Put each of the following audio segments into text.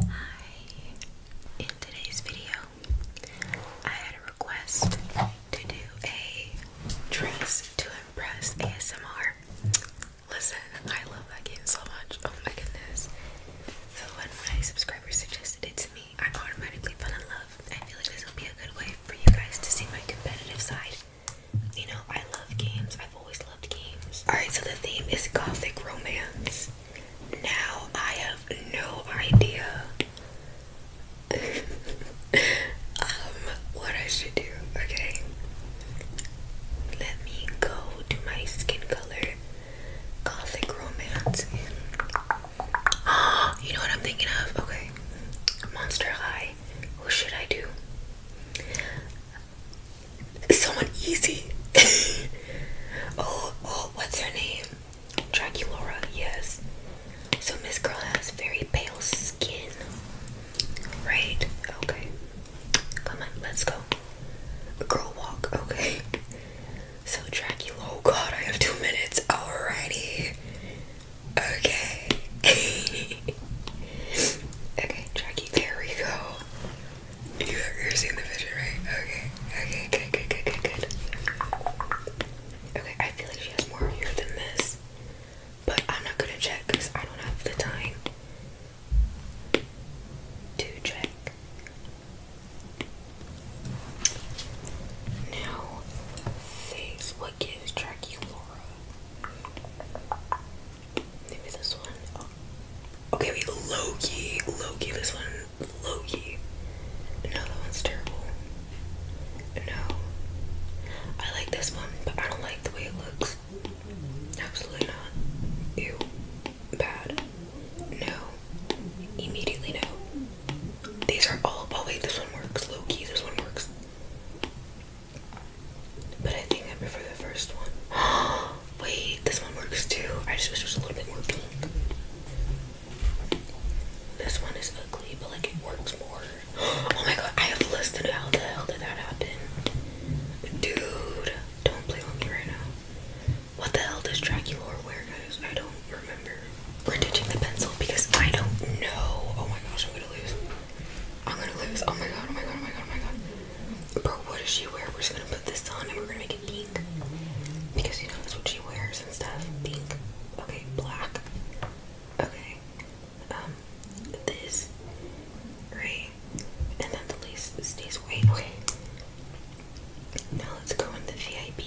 Hi. In today's video, I had a request to do a dress to impress ASMR. Listen, I love that game so much. Oh my goodness. So when my subscriber suggested it to me, I automatically fell in love. I feel like this will be a good way for you guys to see my competitive side. You know, I love games. I've always loved games. Alright, so the theme is gothic romance. Now I have no idea um what I should do. Okay. Let me go to my skin color gothic romance in oh, you know what I'm thinking of? Okay. Monster High. Who should I do? Someone easy. oh, oh, what's her name? Draculaura, yes. So Miss Girl has very pale skin. Right? Okay. Come on, let's go. A girl walk, okay. So Dracula, oh god, I have two minutes. Alrighty. Okay. okay, Jackie, there we go. You, you're seeing the vision, right? Okay, okay, good, good, good, good, good. Okay, I feel like she has more on here than this, but I'm not gonna check because I don't have the time to check. Now, six. What gives Draculaura? Maybe this one. Oh. Okay, wait. Loki. Loki. This one. Loki. No, that one's terrible. No. I like this one, but I don't like the way it looks. Absolutely not. Ew bad. No. Immediately no. These are all. Oh wait, this one works. Low key, this one works. But I think I prefer the first one. wait, this one works too. I just wish it was a little bit more pink. This one is ugly, but like it works more. oh my god, I have listed how the hell did that happen? Dude, don't play with me right now. What the hell does Draculor wear, guys? I don't remember. We're ditching the pencil because I don't know. Oh my gosh, I'm gonna lose. I'm gonna lose. Oh my god, oh my god, oh my god, oh my god. Bro, what does she wear? We're just gonna put this on and we're gonna make it pink. Because you know that's what she wears and stuff. Pink. Okay, black. Okay. Um, this right and then the lace stays away. Okay. Now let's go in the VIP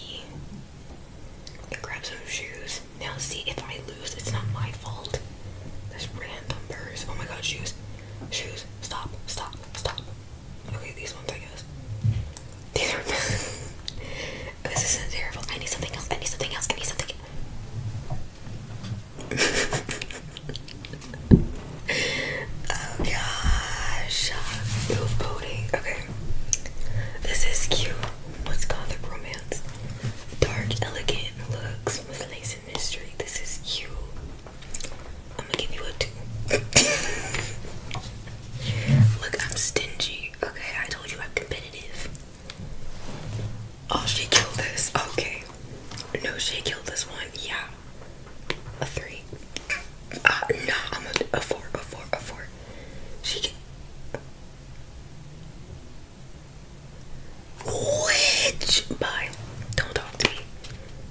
and grab some shoes. Now see if I lose, it's not my fault. There's random purse. Oh my god, shoes. Shoes. Stop. Stop. Stop. Okay, these ones I guess. These are This is terrible. I need something else. I need something else. I need something oh gosh, you're voting. Okay, this is cute. What's gothic romance? Dark, elegant looks with lace and mystery. This is cute. I'm gonna give you a two. Look, I'm stingy. Okay, I told you I'm competitive. Oh, she killed this. Okay. No, she killed this one. Yeah, uh, a three. Uh, no, I'm a, a four, a four, a four. She can. Which? Bye. Don't talk to me.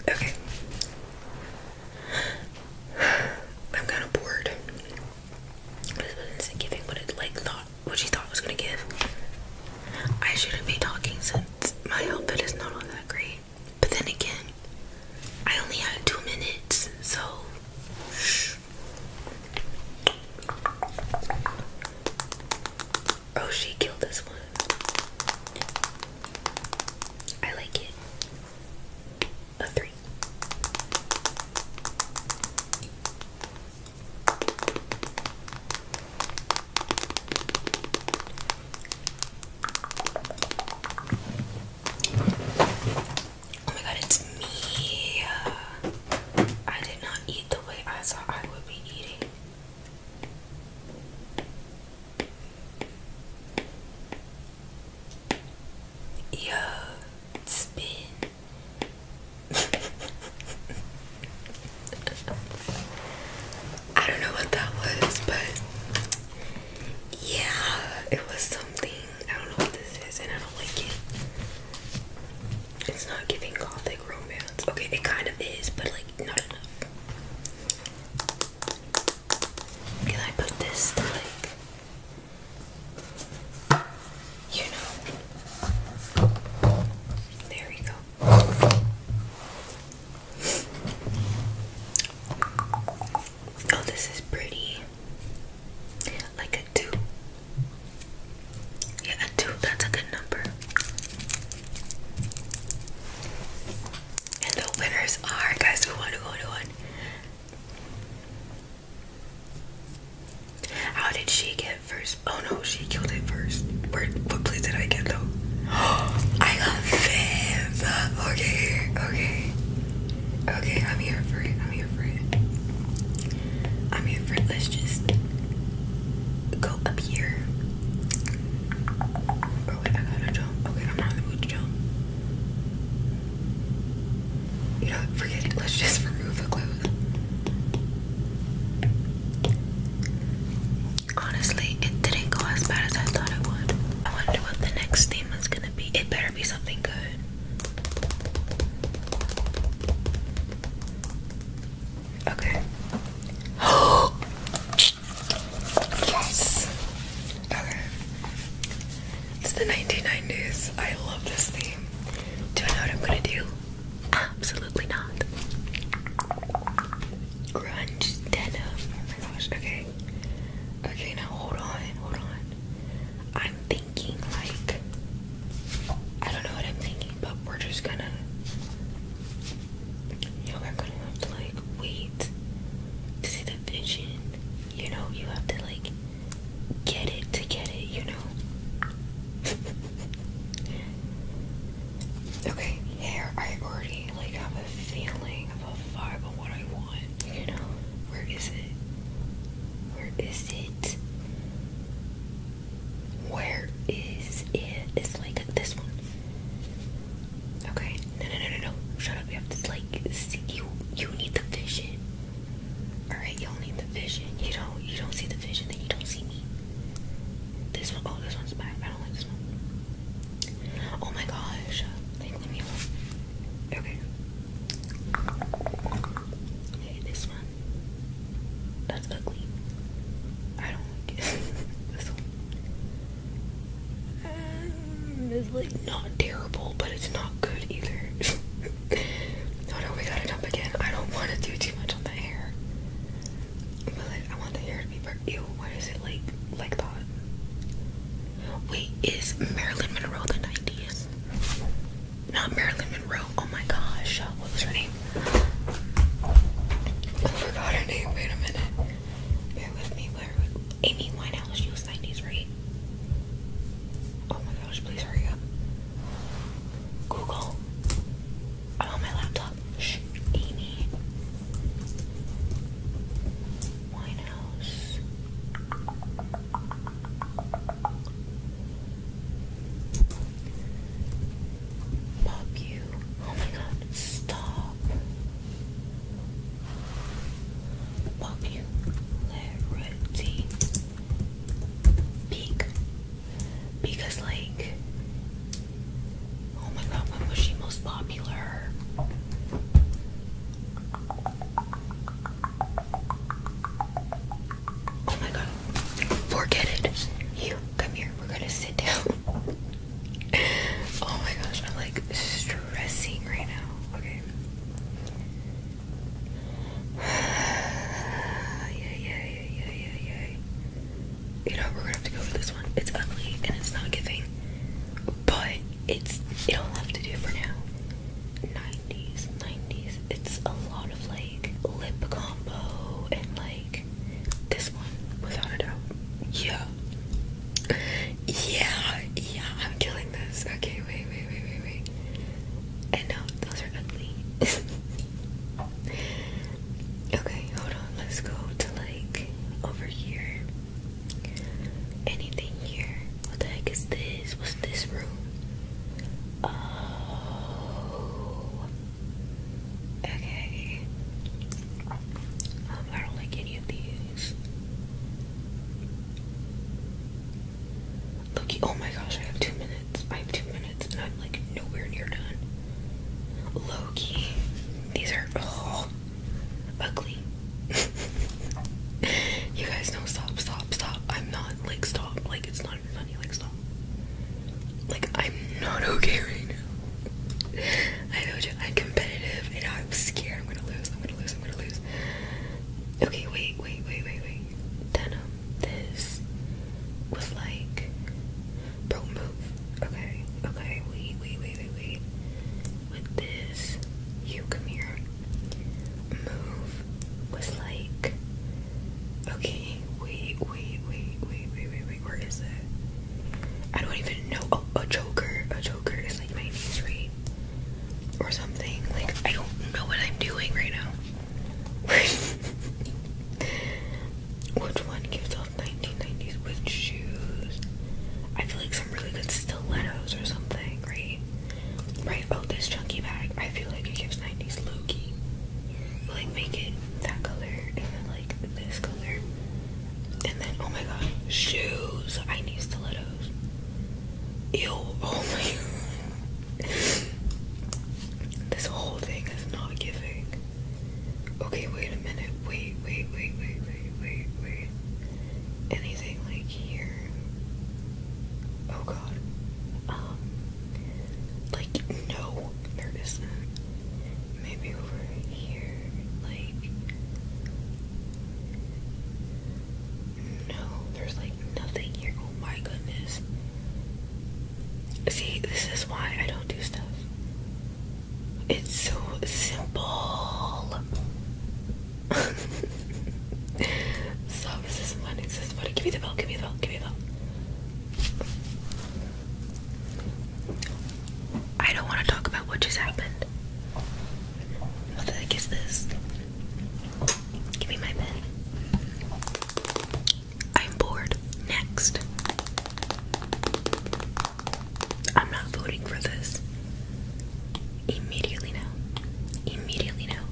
Okay. I'm kind of bored. This wasn't giving what it like thought, what she thought was gonna give. I shouldn't be talking since my outfit is not all that great. But then again, I only had two minutes, so Oh, she killed this one. I like it. A three. Oh my god, it's me. I did not eat the way I thought I would be eating. Yo, it's been. I don't know what that was, but yeah, it was something. I don't know what this is, and I don't like it. It's not giving gothic romance. Okay, it kind of is, but like not enough. Can I put this to like, you know? There we go. Oh, this is pretty. Like a two. Yeah, a two, that's a good number. And the winners are guys who How did she get first? Oh no, she killed it first. Where, what place did I get though? I got Viv. Okay, okay, okay. I'm here for it. I'm here for it. I'm here for it. Let's just go up here. Oh wait, I gotta jump. Okay, I'm not in the mood to jump. You know, forget it. Let's just remove the clothes. Honestly, it didn't go as bad as I thought it would. I wonder what the next theme is gonna be. It better be something good. Okay. yes! Okay. It's the 1990s. I love this theme. Do I know what I'm gonna do? Absolutely not. Grunge denim. Oh my gosh, okay. Okay, now hold on, hold on. I'm thinking like I don't know what I'm thinking, but we're just gonna you know, we're gonna have to like wait to see the vision. You know, you have to like get it to get it, you know. okay, Here, I already like have a feeling a vibe of what I want, you know? Where is it? Where is it? Where is it? It's like this one. Okay. No, no, no, no, no. Shut up. You have to like see you. You need the vision. All right. Y'all need the vision. You don't. You don't see the vision, then you don't see me. This one. Oh, this one's bad. I don't like this one. Oh my gosh. Like, leave Okay. this one. That's ugly. I don't like it. this one. Um, it's like not terrible, but it's not good either. oh no, we got it up again. I don't want to do too much on the hair. But like, I want the hair to be purple. why is it like like that? Wait, is Marilyn Monroe the 90s? Not Marilyn Monroe. Oh my gosh, what was her name? I forgot her name. Wait a minute. Bear with me. Where? Amy Winehouse. She was 90s, right? Oh my gosh, please hurry up. Google. I'm oh, my laptop. Shh, Amy Winehouse. Pop you. Oh my god, stop. Popularity peak because, like, Oh my god, when was she most popular? Oh my god, forget it. You come here, we're gonna sit down. oh my gosh, I'm like stressing right now. Okay. yeah, yeah, yeah, yeah, yeah, yeah you know, we're gonna have to go with this one. It's ugly and it's not giving, but it's it'll have to do for now. 90s, 90s. It's a lot of like lip combo and like this one, without a doubt. Yeah. Yeah, yeah, I'm killing this. Okay, wait, wait, wait, wait, wait. And no, those are ugly. okay, hold on. Let's go to like over here. Anything here? What the heck is this? What's this room? Oh. Okay. Um, I don't like any of these. Look, oh my gosh, I have two minutes. I have two minutes and I'm like nowhere near done. Loki. These are oh ugly. you guys know, stop, stop, stop. I'm not like stop. Like it's not even funny. Like stop. Like I'm not okay right now. I know I'm competitive and I'm scared. I'm gonna lose. I'm gonna lose. I'm gonna lose. Okay, wait, wait, wait, wait, wait. Then um, this was like, bro, move. Okay, okay, wait, wait, wait, wait, wait with this you come here move was like okay wait wait wait wait wait wait wait where is it I don't even know oh, a joker a joker is like my knees right or something like I don't know what I'm doing right now which one gives off 1990s with shoes. I feel like some really good stilettos or something, right? Right, oh, this chunky bag, I feel like it gives 90s Loki. Like, make it that color, and then, like, this color. And then, oh my god, shoes! I need stilettos. Ew, oh my this whole thing is not giving Okay, wait a minute. Wait, wait, wait, wait, wait, wait, wait. Anything like here? Oh god. Um, like, no, there isn't. Maybe over here, like. No, there's like nothing here. Oh my goodness. See, this is why I don't do stuff. It's so simple. Stop resisting Give me the bell, give me the bell, give me the bell. I don't want to talk about what just happened. What the heck is this? Give me my pen. I'm bored. Next. I'm not voting for this. Immediately now. Immediately now.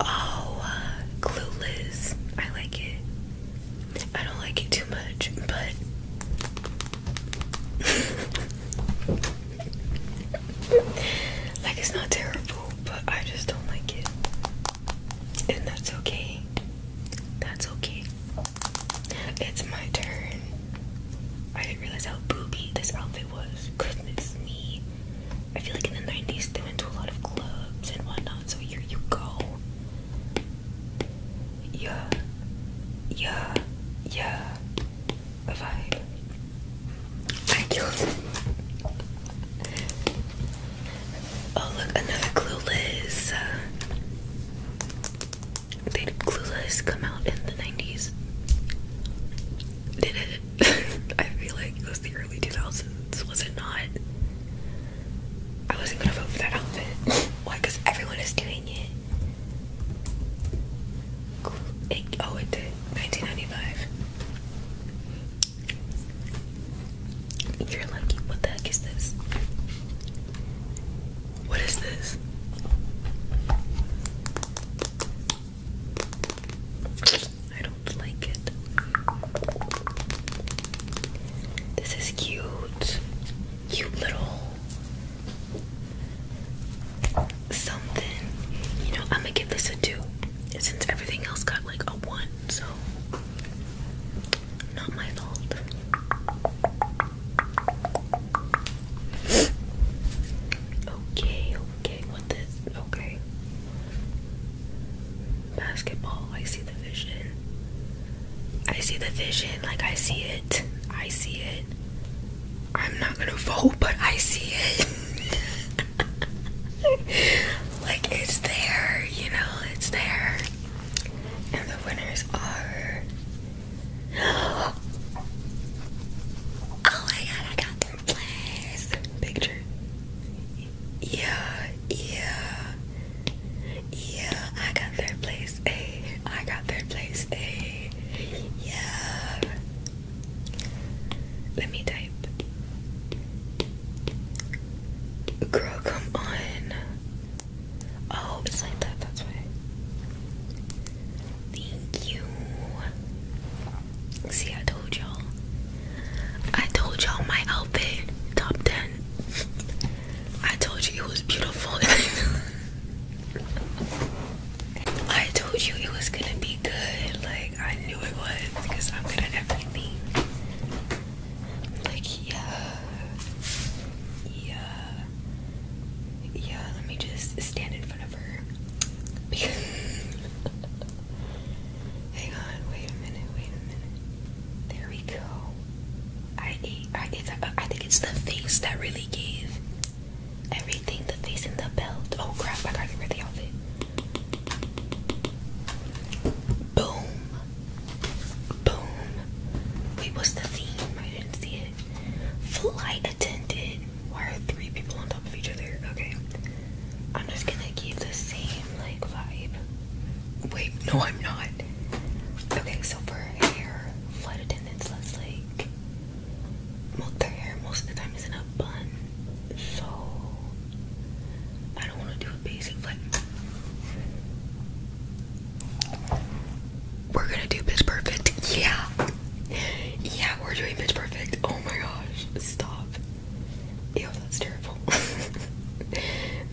Oh, uh, clueless. I like it. I don't like it too much, but. like, it's not terrible, but I just don't like it. And that's okay. That's okay. It's my turn. I didn't realize how booby this outfit was. Goodness me. I feel like in the 90s they went to a lot of clubs and whatnot, so here you go. Yeah. Yeah. Yeah. A vibe. I Oh look, another Clueless. Uh, did Clueless come out in the 90s? Did it? I feel like it was the early 2000s, was it not? I wasn't gonna vote for that outfit. Why? Because everyone is doing it. it. Oh, it did. 1995. You're lucky. What the heck is this? What is this? I don't like it. This is cute. Cute little something. You know, I'm gonna give this a two. Since everything else got like a one so not my fault. Okay, okay, what this? Okay. Basketball, I see the vision. I see the vision, like I see it. I see it. I'm not gonna vote, but I see it. like it's there, you know, it's there. And the winners are. Oh my god, I got third place! Picture. Yeah, yeah. Yeah, I got third place. Hey, I got third place. Hey, yeah. Let me type. Girl, come on. Oh, it's like that, that's why. Thank you. See, I told y'all. I told y'all my outfit, top 10. I told you it was beautiful. I told you it was gonna be good. Like, I knew it was because I'm good at everything. Like, yeah. Yeah. Yeah, let me just stand in front of her. Hang on, wait a minute, wait a minute. There we go. I ate, I ate the, I think it's the face that really gave everything the face and the belt. Oh crap, I gotta get the outfit. Boom. Boom. Wait, what's the theme? I didn't see it. Flight attendant. Why are three people on top of each other? Okay. I'm just gonna keep the same like vibe. Wait, no, I'm not. Okay, so for hair, flight attendants, let's like. Well, their hair most of the time is in a bun, so I don't want to do a basic flight. We're gonna do Pitch Perfect. Yeah. Yeah, we're doing Pitch Perfect. Oh my gosh. Stop. Ew, that's terrible.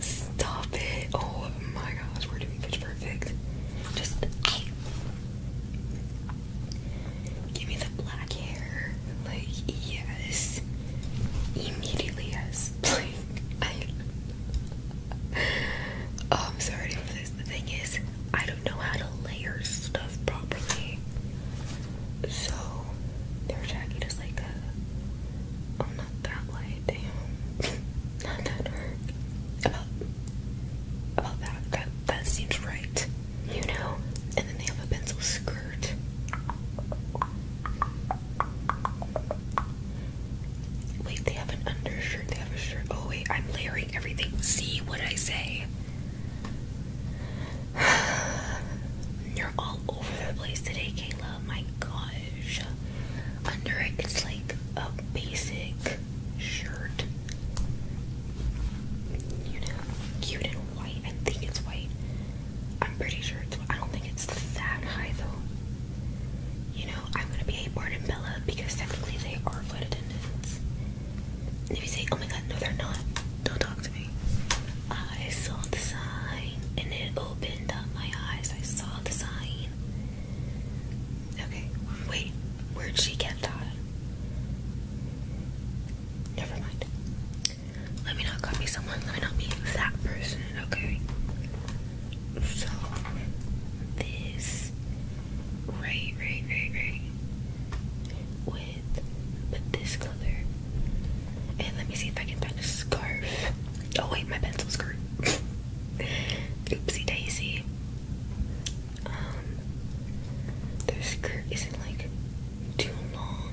Stop it. Oh my gosh, we're doing Pitch Perfect. Just. Give me the black hair. Like, yes. Immediately, yes. Like, I. oh, I'm sorry for this. The thing is, I don't know how to layer stuff properly. So they're attacking like a. Oh, not that light. Damn, not that dark. About about that. That that seems right. You know. And then they have a pencil skirt. Wait, they have an undershirt. They have a shirt. Oh, wait, I'm layering everything. See what I say? You're all over the place today, Kayla. My gosh. Under it, it's like a basic shirt. You know, cute and white. I think it's white. I'm pretty sure it's. I don't think it's that high though. You know, I'm gonna be a Bart and Bella because technically they are flight attendants. And if you say, oh my god, no they're not, don't talk to me. I saw the sign and it opened up my eyes. I saw the sign. Okay, wait, where'd she get that? Never mind. Let me not copy someone, let me not be that person, okay? so this right, right, right, right with but this color. And let me see if I can find a scarf. Oh wait, my pencil skirt. Oopsie daisy. Um their skirt isn't like too long,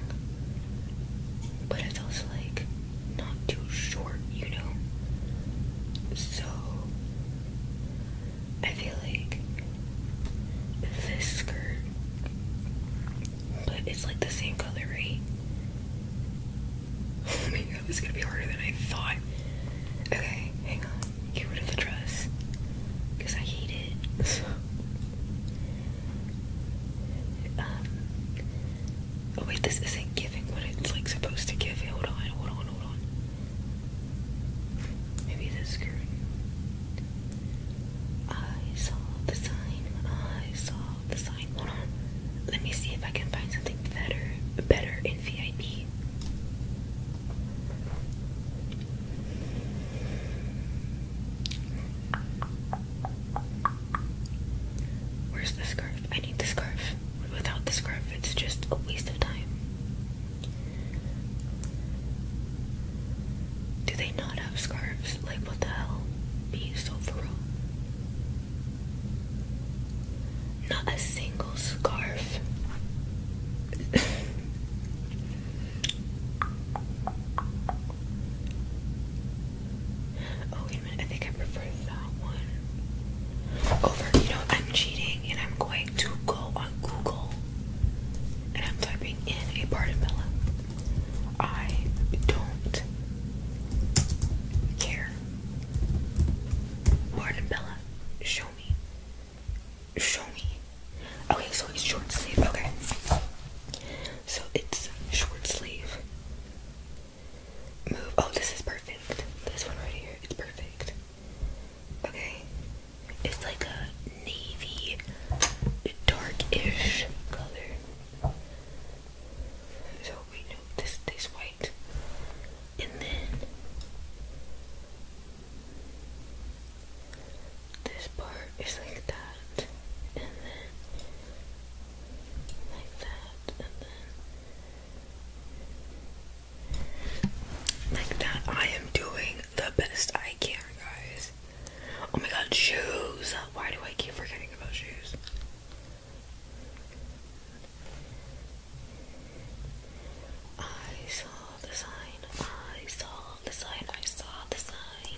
but it's also like not too short, you know? So, I feel like this skirt, but it's like the same color, right? Oh my god, this is gonna be harder than I thought. Okay, hang on. Get rid of the dress. Because I hate it. Um, Oh wait, this isn't giving what it's like supposed to give. Hold on, hold on, hold on. Maybe this curtain. I saw the sign. I saw the sign. Hold on. Let me see if I can find something better, better in VIP. Where's the scarf? I need the scarf. Without the scarf, it's just a waste of time. Do they not have scarves? Like, what the hell? Be so for real. Not a single scarf. oh, I think I prefer that one over. You know, I'm cheating, and I'm going to go on Google, and I'm typing in a Bartonella. I don't care. Bartonella, show me. Show me. Okay, so it's short sleeve. Okay. So it's short sleeve move. Oh, this is perfect. This one right here, it's perfect. Okay, it's like a navy, darkish color. So we know this stays white, and then this part is like that, and then like that, and then like that, I am doing the best I can, guys. Oh my god, shoes! Why do I keep forgetting about shoes? I saw the sign, I saw the sign, I saw the sign.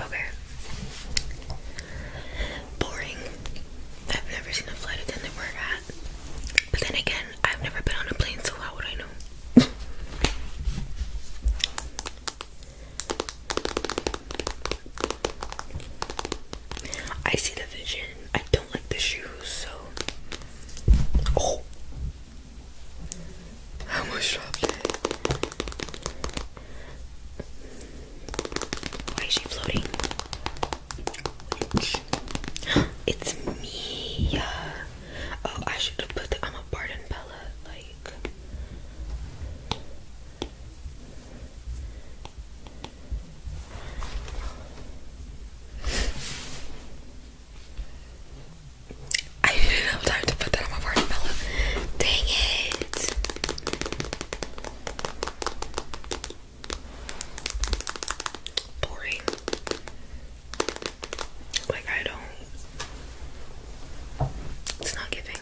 Okay. Boring. I've never seen a flight attendant work at. But then again, I've never been on a plane, so how would I know? I see the vision. I don't like the shoes, so. Oh! I almost dropped it. Why is she floating? It's me. Oh, I should have put I'm a Barden Bella. Like. I didn't have time to put that on my party watermelon. Dang it! Boring. Like, I don't. It's not giving.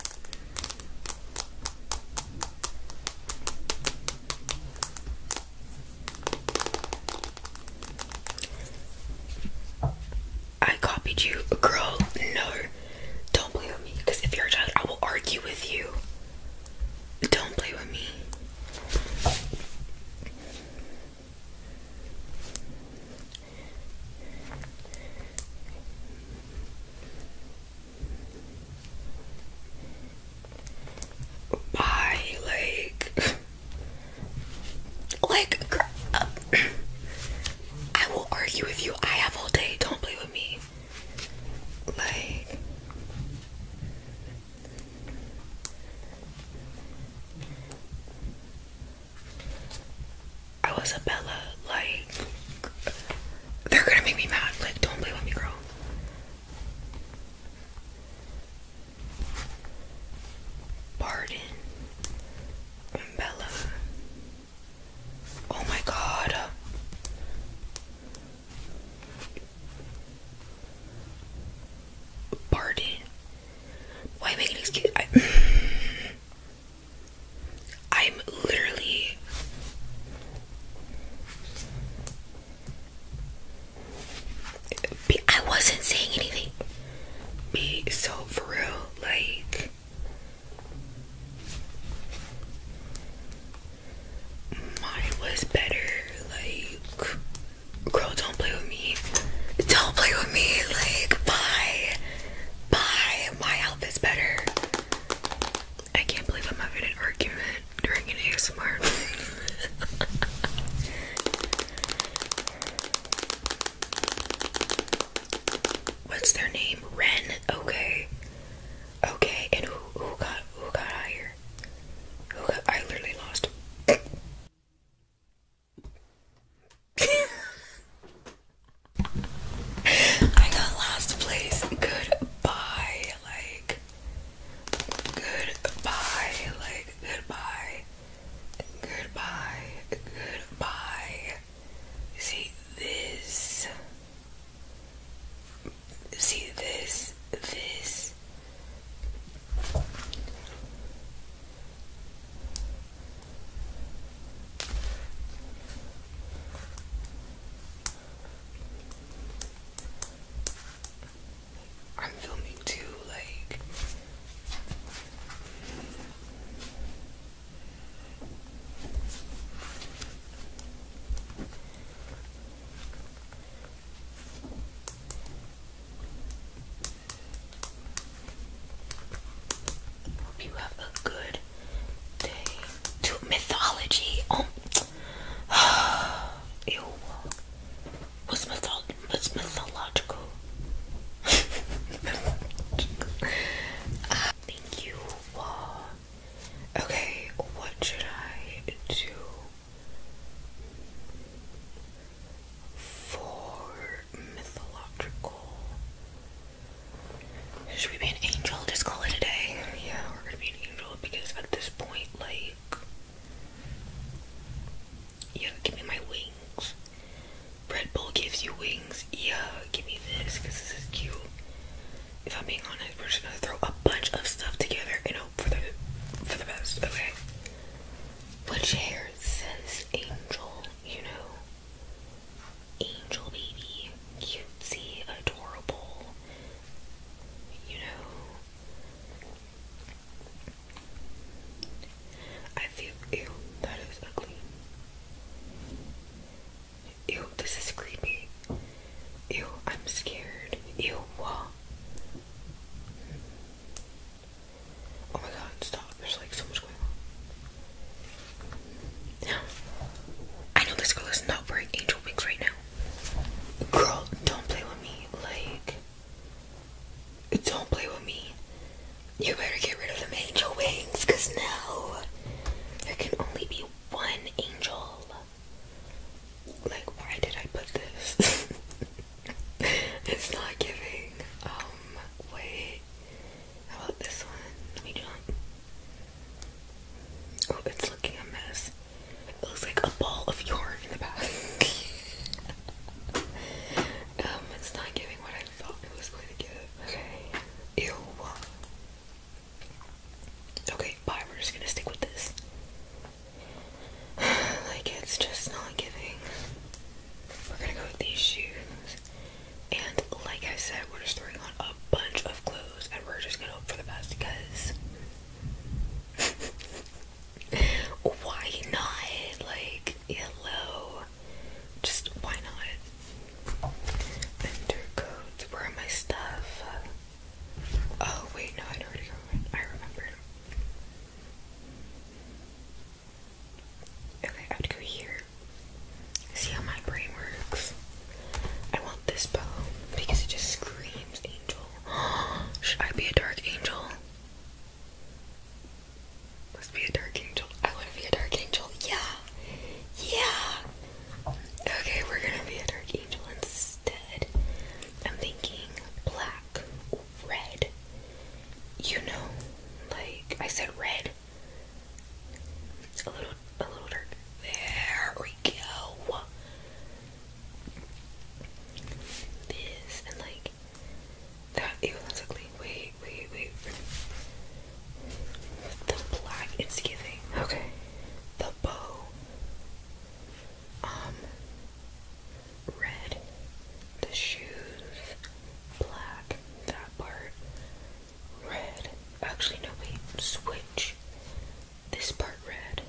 I copied you. Girl, no. Don't play with me. Because if you're a child, I will argue with you. Don't play with me. Bye, like. Like, uh, I will argue with you. I have all day. Don't play with me. Like, I was a Bella. Like, they're gonna make me mad. Like, don't play with me, girl. Pardon, Umbella. Oh my god. Barden. Why make an excuse? I, I'm literally. I wasn't saying anything. Be so for real, like. Mine was better. Like, girl, don't play with me. Don't play with me. Like, bye. Bye. My outfit's better. I can't believe I'm having an argument during an ASMR. What's their name? Ren. Okay. Okay. And who who got who got higher? Who got, I literally lost. I got last place. Goodbye. Like goodbye. Like goodbye. Goodbye. Goodbye. See this. See this. This. I'm filming too, like Hope you have a good day. To mythology. Oh, was, mythol was mythological. thank you. okay, what should I do for mythological? Should we be an angel? Just call it a day. Yeah, we're gonna be an angel because at this point, like yeah, give me my wings. Red Bull gives you wings. Yeah, give me this because this is cute. If I'm being honest, we're just gonna throw a bunch of stuff together and hope for the for the best. Okay. Which hair says angel? You know, angel baby, cutesy, adorable. You know, I feel ew, that is ugly. Ew, this is creepy. Ew, I'm scared. Ew, Oh my god, stop. There's like so much going on. I know this girl is not wearing angel wings right now. Girl, don't play with me. Like, don't play with me. You better get rid of the angel wings, cause now There can only be one angel. Like, why did I put this? it's not giving. Um, wait. How about this one? Let me jump. Oh, it's looking a mess. It looks like a ball of yarn in the back. um, it's not giving what I Okay. Ew. Okay, bye. We're just gonna stick with this. like, it's just not giving. We're gonna go with these shoes. And, like I said, we're just throwing on a bunch of clothes and we're just gonna hope for the best because. Why not? Like, hello. Just why not? Winter coats. my stuff? Oh wait, no, i already remembered. I remembered. Okay, I would go here. See how my brain works. I want this bow because it just screams angel. Should I be a dark angel? Let's be a dark angel. I want to be a dark angel. Yeah. Yeah. Okay, we're going to be a dark angel instead. I'm thinking black, red. You know, like I said red. A little a little dark. There we go. This and like that ew, Wait, wait, wait. The black it's giving. Okay. The bow. Um red. The shoes. Black. That part. Red. Actually no wait. Switch. This part red.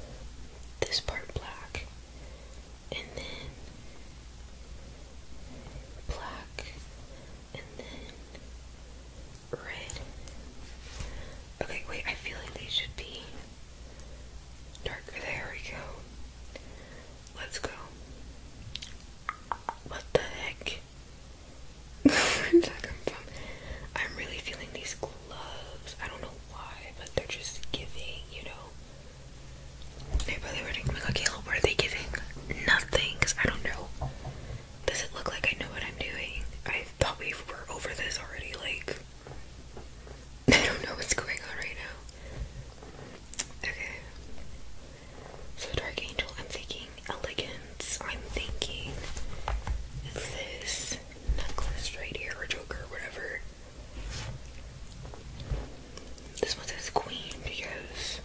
This part black and then black, and then red. Okay, wait, I feel like they should be darker. There we go. Let's go. What the heck? Where's that come from? I'm really feeling these gloves. I don't know why, but they're just giving, you know. They probably were like, Michaela, were they giving nothing? Because I don't know. Does it look like I know what I'm doing? I thought we were over this already. Like, I don't know what's going on right now. Okay. So, Dark Angel, I'm thinking elegance. I'm thinking this necklace right here, or joker, whatever. This one says Queen because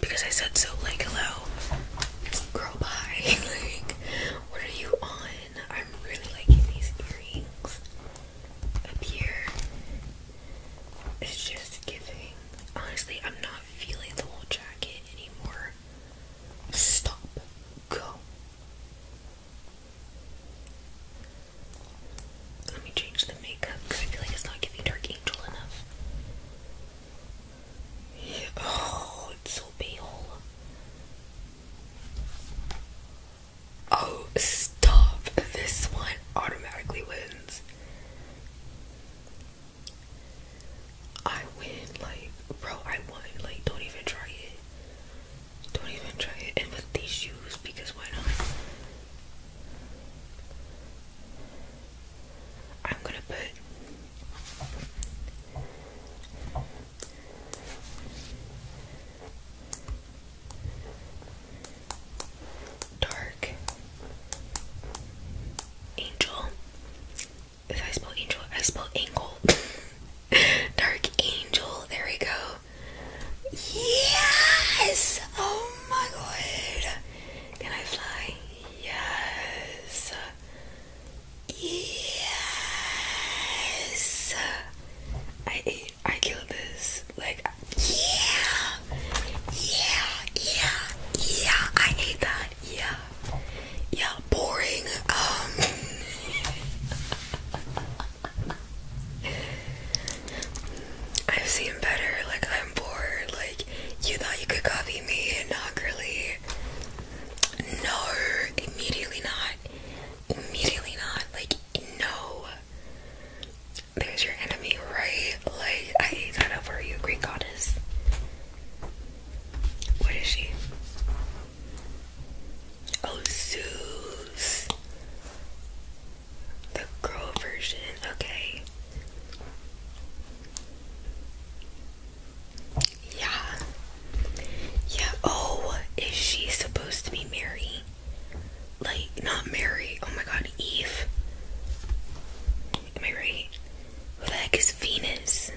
because I said so. Like, hello, girl, bye. like, what are you on? I'm really liking these earrings up here. It's just giving. Honestly, I'm not feeling the whole jacket anymore. Stop. Go. Let me change the makeup because I feel like it's not giving Dark Angel enough. Oh, it's so pale. Oh, stop. This one automatically wins. I win, like, bro, I won. Like, don't even try it. Don't even try to And with these shoes, because why not? I'm gonna put. Dark Angel. If I spell angel, I spell angle. Dark Angel. There we go. Yes! Oh my god! Can I fly? Yes! Yes! I ate, I killed this. Like, yeah! Yeah! Yeah! Yeah! I ate that! Yeah! Yeah, boring. Um. I've seen better, like I'm bored, like you thought you could copy me and not really. No, immediately not. Immediately not. Like no. There's your enemy, right? Like I ate that up for you, Greek goddess. What is she? Oh, Zeus. The girl version, okay. Yeah. Yeah, oh, is she supposed to be Mary? Like, not Mary, oh my god, Eve. Am I right? Who the heck is Venus?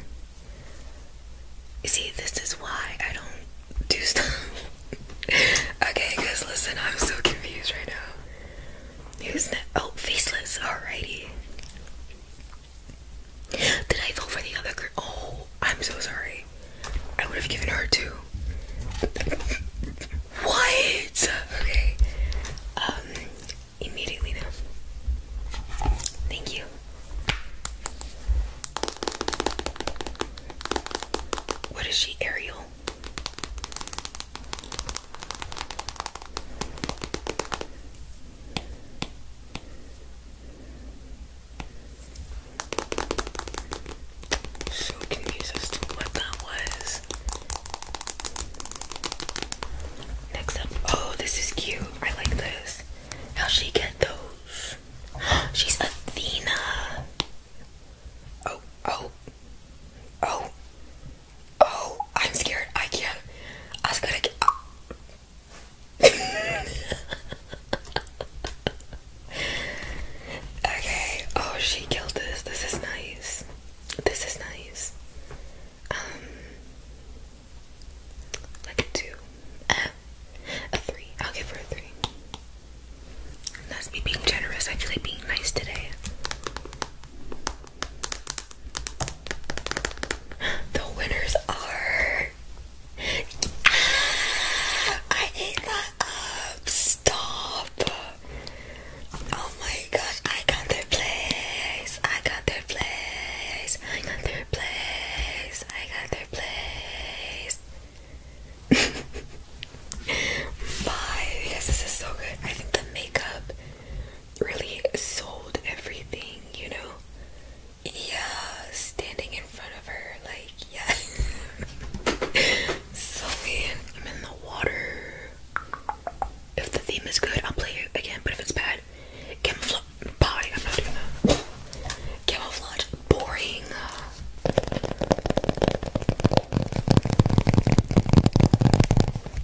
You see, this is why I don't do stuff. okay, guys, listen, I'm so confused right now. Who's that? Oh, faceless. Alrighty. Did I vote for the other girl? Oh, I'm so sorry. I would have given her two. What? Okay. Um, immediately now. Thank you. What is she? Ariel? So confused as to what that was. Next up, oh, this is cute. I like this. how she get those? She's Athena. Oh, oh, oh, oh, I'm scared. I can't. I was gonna get. okay. Oh, she killed this. This is nice. This is nice. Um, like a two, a three. I'll give her a three. That's me being generous. I feel like being nice today. The winners are. I ate that up. Stop. Oh my gosh, I got their place. I got their place. I got their place. I got their place. Bye, because this is so good. I think the makeup really sold everything, you know? Yeah, standing in front of her, like, yeah. so, I'm in the water. If the theme is good, I'll play it again, but if it's bad, camouflage. Bye, I'm not doing that. Camouflage, boring.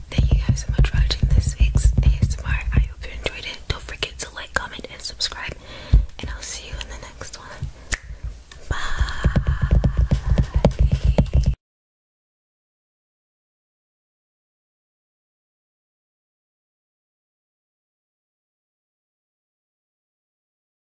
Thank you guys so much for watching this week's ASMR. I hope you enjoyed it. Don't forget to like, comment, and subscribe. And I'll see you in the next one. Bye.